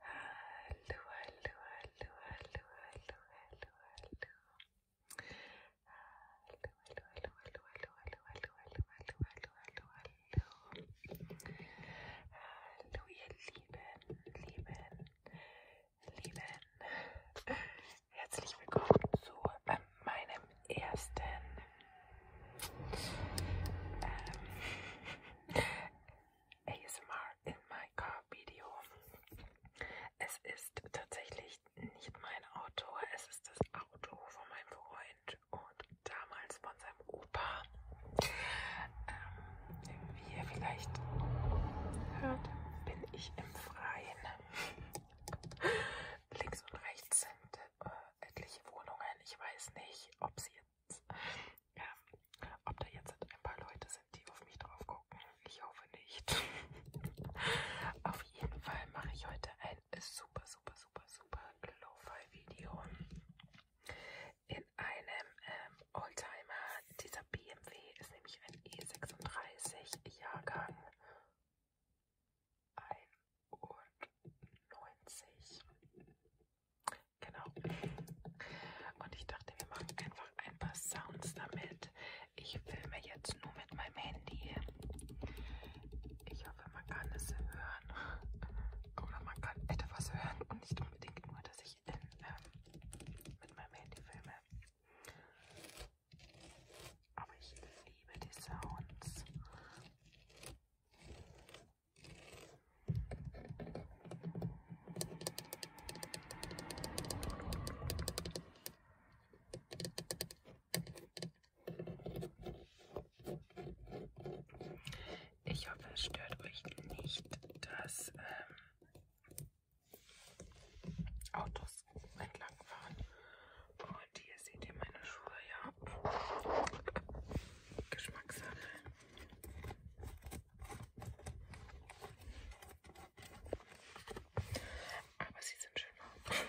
Hallo, hallo, hallo, hallo, hallo, hallo, hallo. Hallo, hallo, hallo, hallo, hallo, hallo, hallo, hallo, hallo, hallo, hallo, hallo. Hallo, ihr Lieben, Lieben, Lieben. Herzlich willkommen zu äh, meinem ersten ähm, ASMR in my car Video. Es ist tatsächlich nicht mein Auto, es ist das Auto von meinem Freund und damals von seinem Opa. Ähm, wie ihr vielleicht hört, bin ich im Freien. Links und rechts sind äh, etliche Wohnungen. Ich weiß nicht, ob sie jetzt. Ähm, ob da jetzt ein paar Leute sind, die auf mich drauf gucken, ich hoffe nicht. auf jeden Fall mache ich heute ein super, super, super, super Lo-Fi-Video in einem ähm, Oldtimer. Dieser BMW ist nämlich ein E36 Jahrgang 91. Genau. Und ich dachte, wir machen einfach ein paar Sounds damit. Ich filme jetzt nur mit meinem Handy. Ich hoffe, man kann es hören. Oder man kann etwas hören und nicht unbedingt nur, dass ich in, ähm, mit meinem Handy filme. Aber ich liebe die Sounds. Ich hoffe, es stört euch nicht, dass ähm, Autos entlang fahren. Und hier seht ihr meine Schuhe, ja. Geschmackssache. Aber sie sind schöner.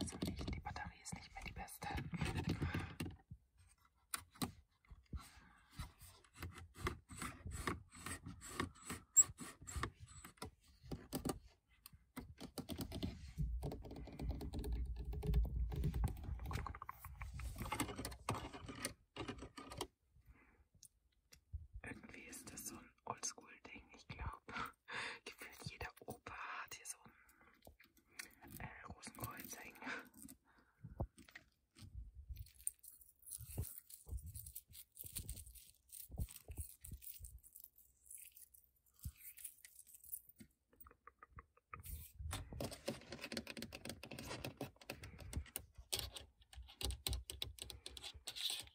Also nicht, die Batterie ist nicht mehr die beste. Irgendwie ist das so ein Oldschool-Ding, ich glaube. Gefühlt jeder Opa hat hier so ein äh, Rosenkreuz hängen.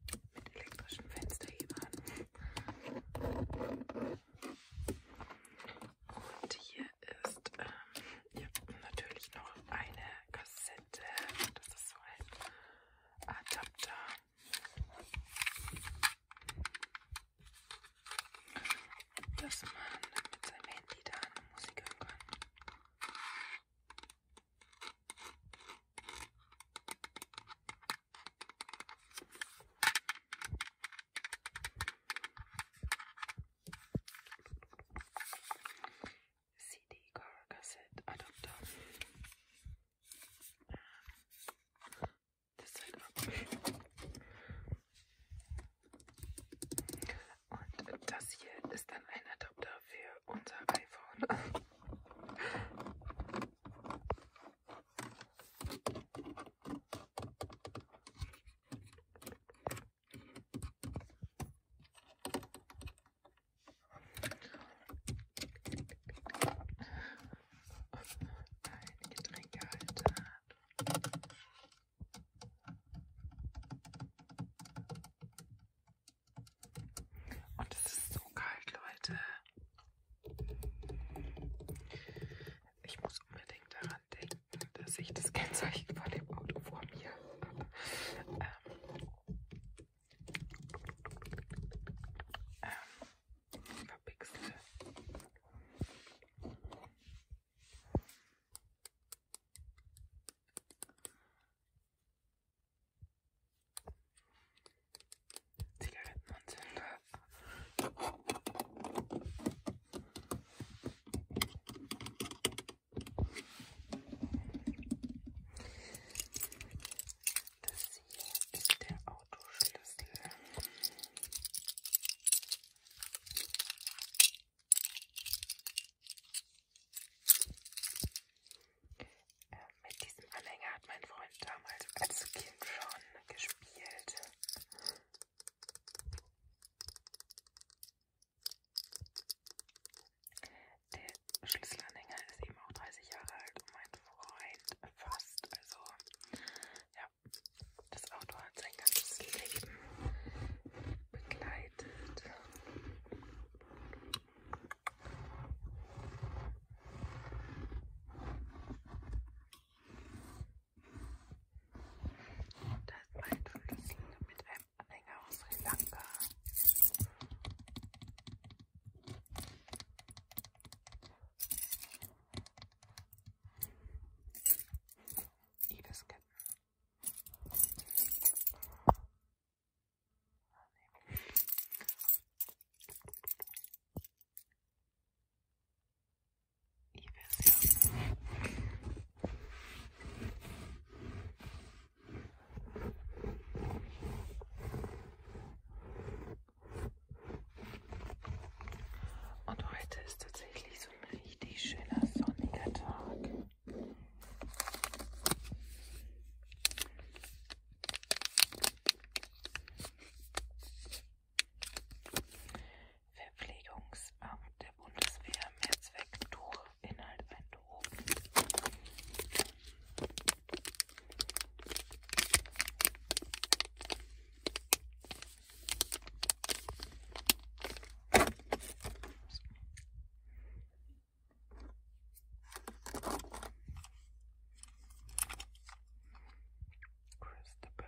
Mit elektrischem Fensterhebern. Und hier ist ähm, ja, natürlich noch eine Kassette. Das ist so ein Adapter. Dass man mit seinem Handy dann Musik hören kann. CD car cassette adapter. This side up. Und das hier ist dann ein Adapter für unser iPhone. Ein Getränkehalter. Und es ist so kalt, Leute. Ich muss unbedingt daran denken, dass ich das Kennzeichen von dem Auto vor mir habe. Ähm, ähm, verpixel. Zigaretten und Zünder. Das hier ist der Autoschlüssel. Äh, mit diesem Anhänger hat mein Freund damals als Kind schon gespielt. Der Schlüsselanhänger ist eben auch 30 Jahre alt und mein Freund fast. Also, ja, das Auto hat sein ganzes Leben begleitet verbreitet. Da ist mein Schlüssel mit einem Anhänger aus Sri Lanka. Ibisketten ich weiß ja. Und heute ist tatsächlich so ein richtig schöner sonniger Tag. Verpflegungsamt der Bundeswehr, Mehrzweck, Tuch, Inhalt ein Tuch. Christopher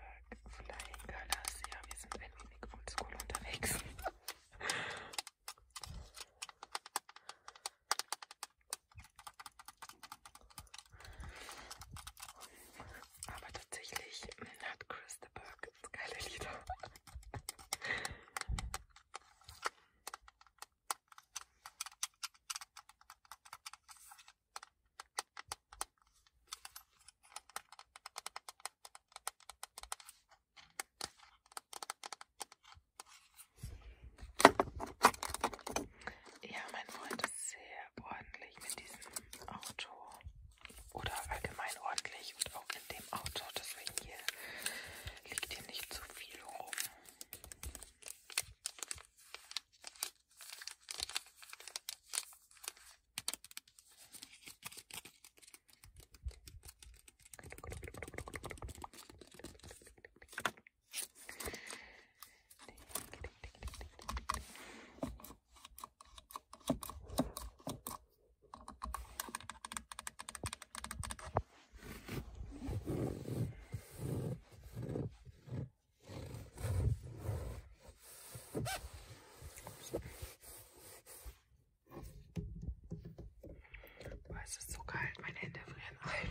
Flying Colors. Ja, wir sind ein wenig oldschool unterwegs. Aber tatsächlich hat Christopher geile Lieder. Ja, mein Freund ist sehr ordentlich mit diesem Auto. Oder allgemein ordentlich und auch in dem Auto. Das hoffe, hier liegt hier nicht zu so viel rum. Boah, es ist so kalt, meine Hände frieren ein.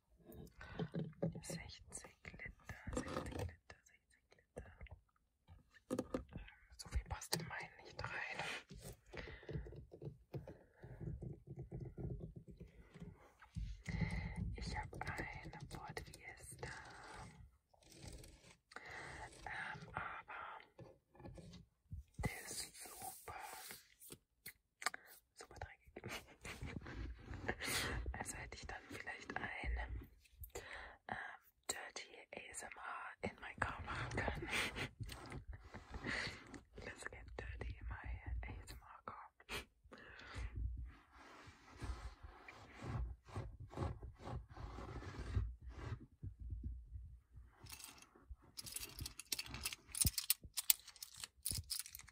60 Liter, 60 Liter, 60 Liter. So viel passt in meinen nicht rein. Ich habe eine Ford Fiesta. Ähm, aber der ist super. Super dreckig. Also hätte ich dann vielleicht ein ähm, Dirty ASMR in mein Car machen können. Let's get dirty in my ASMR car.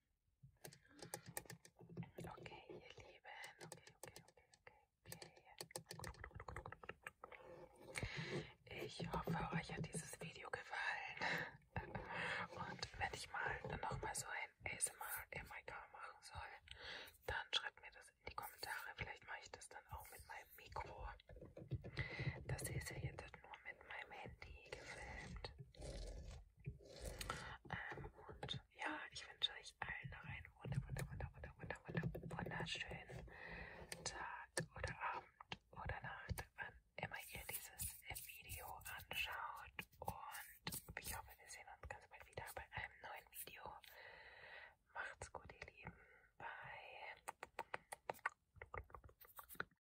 Okay, ihr Lieben. Okay, okay, okay, okay, okay. Ich hoffe, euch hat dieses Video gefallen. Und wenn ich mal nochmal so ein ASMR-MIK machen soll, dann schreibt mir das in die Kommentare. Vielleicht mache ich das dann auch mit meinem Mikro. Das ist ja jetzt nur mit meinem Handy gefilmt. Ähm, und ja, ich wünsche euch allen noch einen wunder, wunder, wunder, wunder, wunder, wunder, wunderschönen Tag oder Abend oder Nacht, wann immer ihr dieses Video anschaut. Und ich hoffe, wir sehen uns ganz bald wieder bei einem neuen Video. Macht's gut, ihr Lieben. Bye.